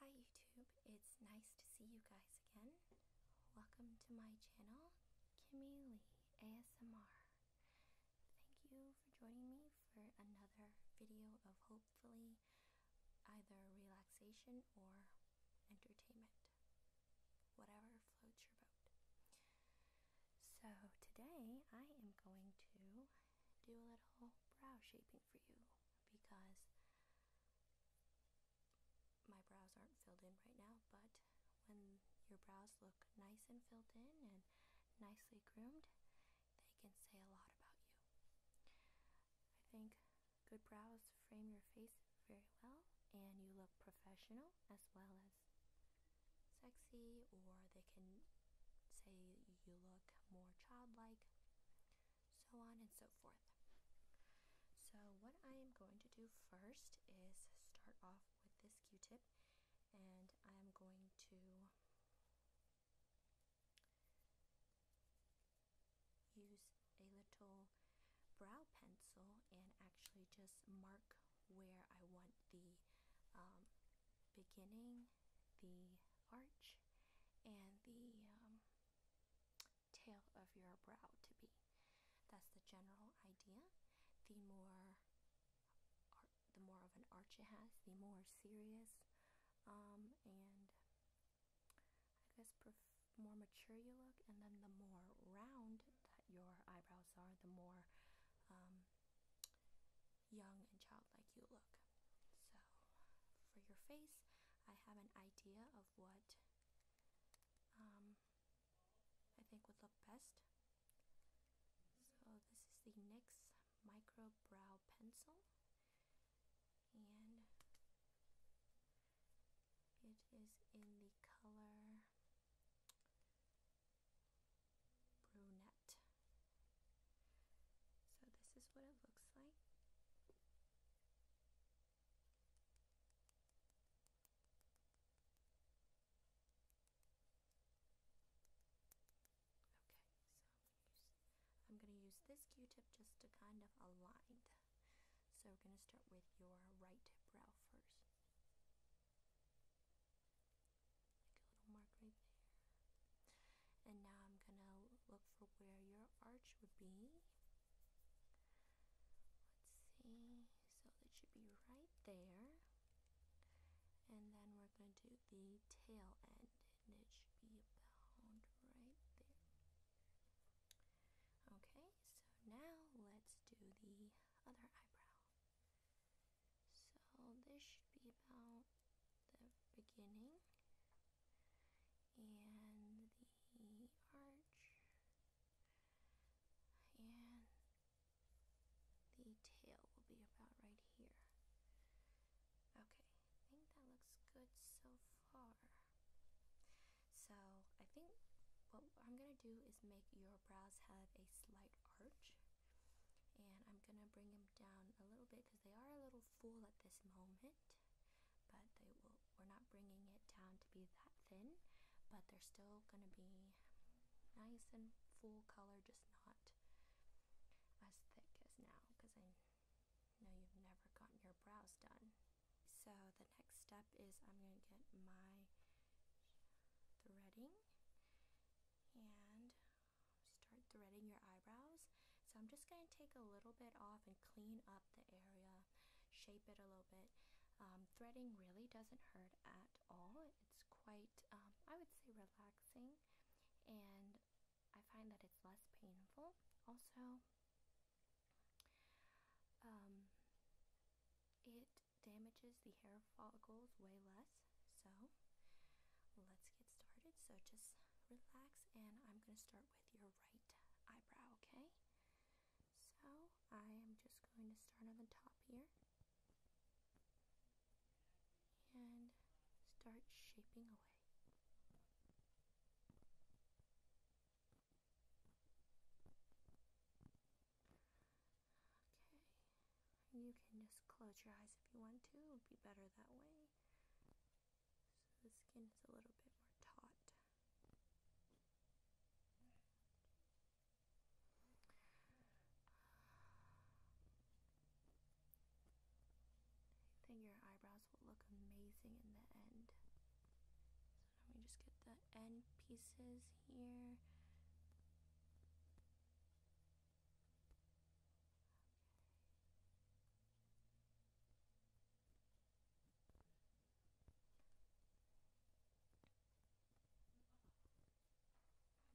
Hi YouTube, it's nice to see you guys again. Welcome to my channel, Kimmy Lee ASMR. Thank you for joining me for another video of hopefully either relaxation or entertainment. Whatever floats your boat. So today I am going to do a little brow shaping for you because my brows aren't filled in right now, but when your brows look nice and filled in and nicely groomed, they can say a lot about you. I think good brows frame your face very well, and you look professional as well as sexy, or they can say you look more childlike so on and so forth. So, what I am going to do first is start off with this q tip, and I am going to use a little brow pencil and actually just mark where I want the um, beginning the arch and the um, tail of your brow to be. That's the general idea. The more the more of an arch it has, the more serious um, and I guess more mature you look, and then the more round that your eyebrows are, the more um, young and childlike you look. So, for your face, I have an idea of what um, I think would look best. So, this is the NYX Micro Brow Pencil, and it is in the color brunette. So this is what it looks like. Okay, so I'm going to use this q-tip just to kind of align. So we're going to start with your right brow first. Like a little mark right there. And now I'm gonna look for where your arch would be. Let's see. So it should be right there. And then we're gonna do the tail end, and it should be about right there. Okay, so now let's do the other eyebrow. So this should be about the beginning and the arch and the tail will be about right here. Okay, I think that looks good so far. So I think what I'm gonna do is make your brows have a slight arch and I'm gonna bring them down a little bit because they are a little full at this moment but they will we're not bringing it down to be that thin but they're still going to be nice and full color just not as thick as now because i know you've never gotten your brows done so the next step is i'm going to get my threading and start threading your eyebrows. So I'm just going to take a little bit off and clean up the area, shape it a little bit. Um, threading really doesn't hurt at all. It's quite, um, I would say, relaxing, and I find that it's less painful. Also, um, it damages the hair follicles weigh less. So let's get started. So just relax, and I'm going to start with your right eyebrow, okay? So I am just going to start on the top here and start shaping away. Okay. You can just close your eyes if you want to. It'll be better that way. So the skin is a little bit more taut. I think your eyebrows will look amazing in the end. So let me just get the end pieces here.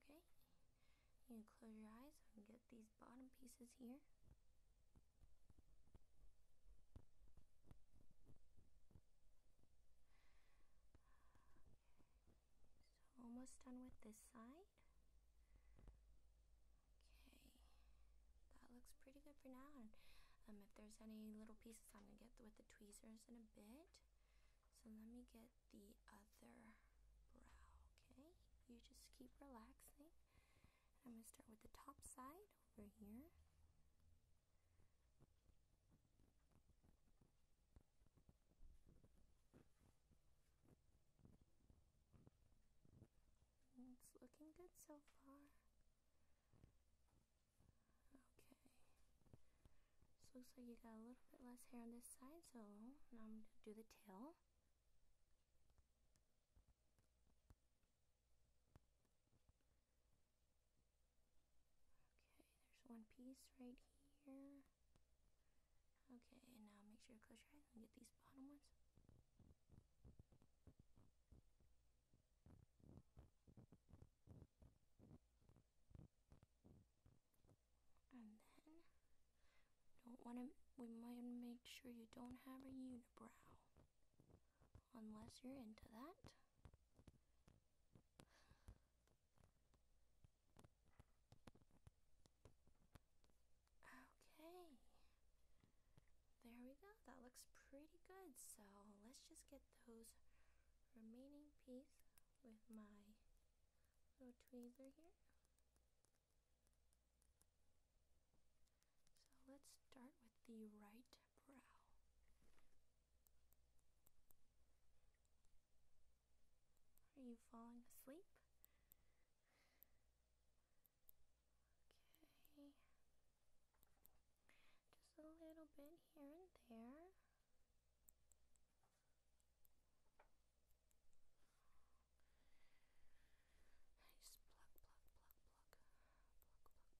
Okay. You close your eyes and get these bottom pieces here. So almost done with this side. Okay, that looks pretty good for now. um, if there's any little pieces, I'm gonna get with the tweezers in a bit. So let me get the other brow. Okay, you just keep relaxing. I'm gonna start with the top side over here. It's looking good so far. Okay. looks like you got a little bit less hair on this side, so now I'm going to do the tail. Okay, there's one piece right here. Okay, and now make sure you close your eyes and get these bottom ones. And then, don't want to, we might make sure you don't have a unibrow. Unless you're into that. Okay. There we go. That looks pretty good. So let's just get those remaining piece with my little tweezer here. So let's start with the right brow. Are you falling asleep? Okay. Just a little bit here and there. I just pluck, pluck, pluck, pluck,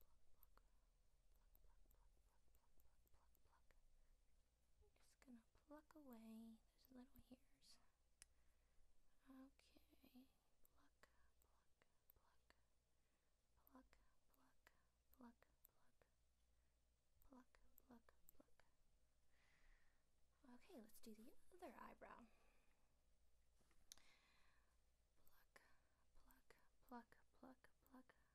pluck, pluck, pluck, pluck, pluck, pluck, pluck, pluck, pluck, pluck, pluck, pluck, just gonna pluck away those little hairs. Okay, pluck, pluck, pluck, pluck, pluck, pluck, pluck, pluck, pluck. Okay, let's do the other eyebrow. Pluck, pluck, pluck, pluck, pluck,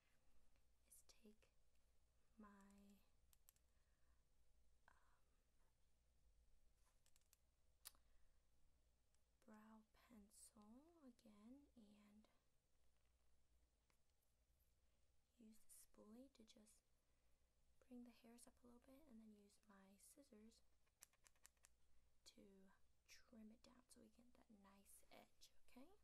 is take my um, brow pencil again and use the spoolie to just bring the hairs up a little bit and then use my scissors to trim it down so we get that nice edge okay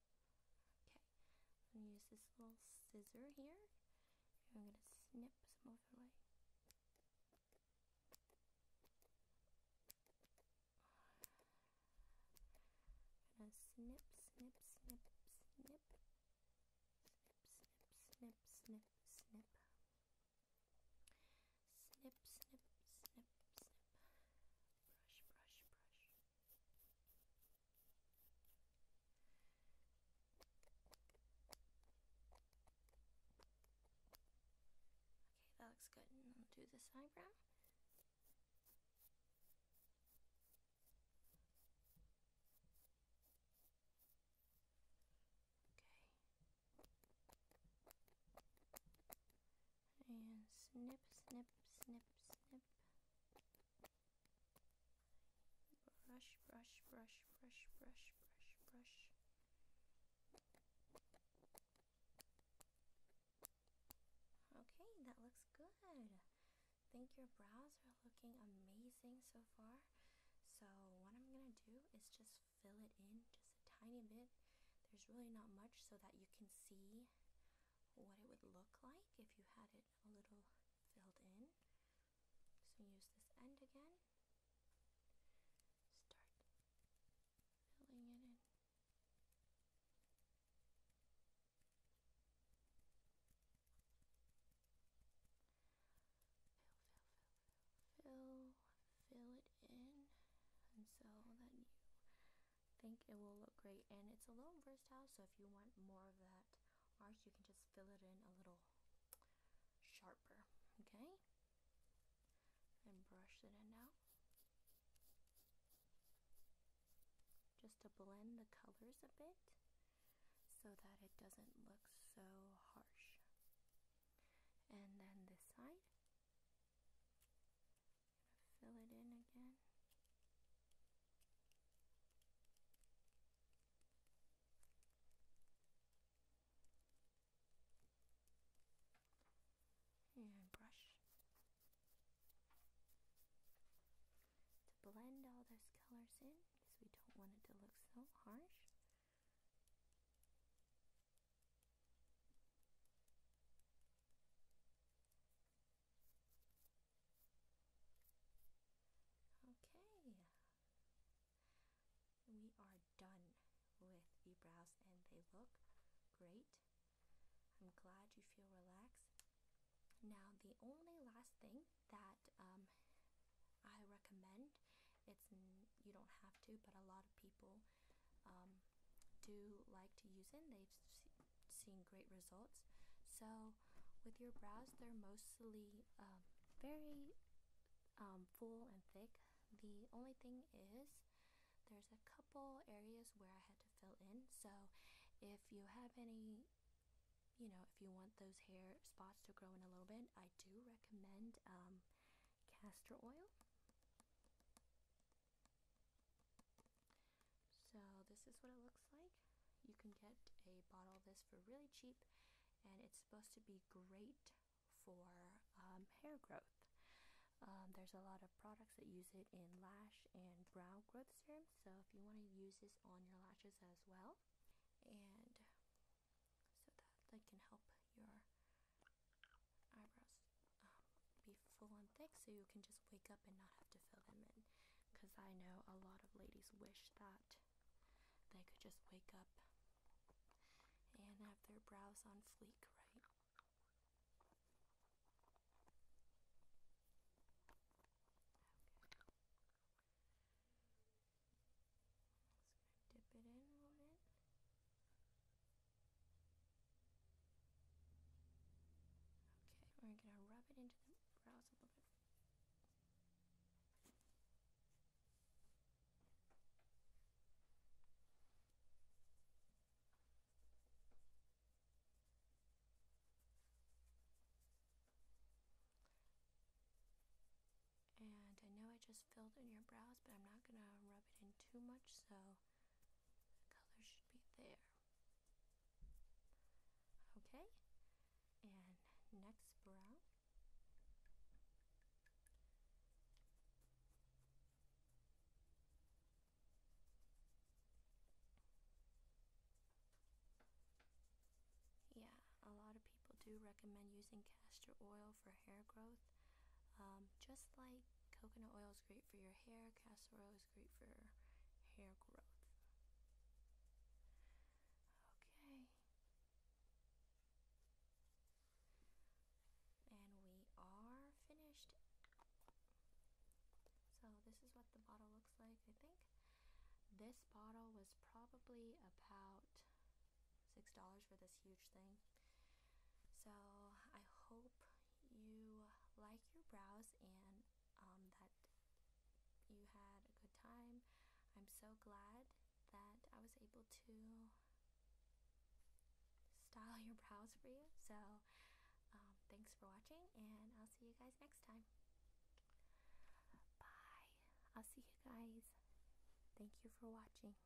Okay, I'm gonna use this little scissor here. I'm gonna snip some overlay. I'm gonna snip, snip, snip, snip, snip, snip, snip, snip, snip, snip, snip, snip, snip brush, brush, brush. Okay, that looks good. And I'll do this eyebrow. Okay and snip, snip, snip, snip. Brush, brush, brush, brush, brush, brush, brush. Okay, that looks good. think your brows are looking amazing so far. So what I'm gonna do is just fill it in just a tiny bit. There's really not much so that you can see what it would look like if you had it a little filled in. So use this end again. Start filling it in. Fill, fill, fill, fill, fill it in, and so that think it will look great and it's a little versatile so if you want more of that arch you can just fill it in a little sharper okay and brush it in now just to blend the colors a bit so that it doesn't look so harsh and then this side fill it in again. And brush. To blend all those colors in, because we don't want it to look so harsh. Okay, we are done with the brows and they look great. I'm glad you feel relaxed. Now, the only last thing that um, I recommend, it's you don't have to, but a lot of people um, do like to use it. They've seen great results. So with your brows, they're mostly um, very um, full and thick. The only thing is there's a couple areas where I had to fill in. So if you have any, you know, if you want those hair spots to grow in a little bit, I do recommend castor oil. So this is what it looks like. You can get a bottle of this for really cheap and it's supposed to be great for um, hair growth. Um, there's a lot of products that use it in lash and brow growth serum, so if you want to use this on your lashes as well, and so that can help your eyebrows um, be full and thick so you can just wake up and not have to fill them in. Because I know a lot of ladies wish that they could just wake up and have their brows on fleek, right? dip it in a little bit. Okay, we're gonna rub it into the brows a little bit. And I know I just filled in your brows, but I'm not gonna rub it in too much, so the color should be there. Okay, and next brow. Yeah, a lot of people do recommend using castor oil for hair growth, um, just like coconut oil is great for your hair, castor oil is great for hair growth. Okay. And we are finished. So this is what the bottle looks like, I think. This bottle was probably about six dollars for this huge thing so i hope you like your brows and um, that you had a good time i'm so glad that i was able to style your brows for you so um, thanks for watching and i'll see you guys next time bye i'll see you guys thank you for watching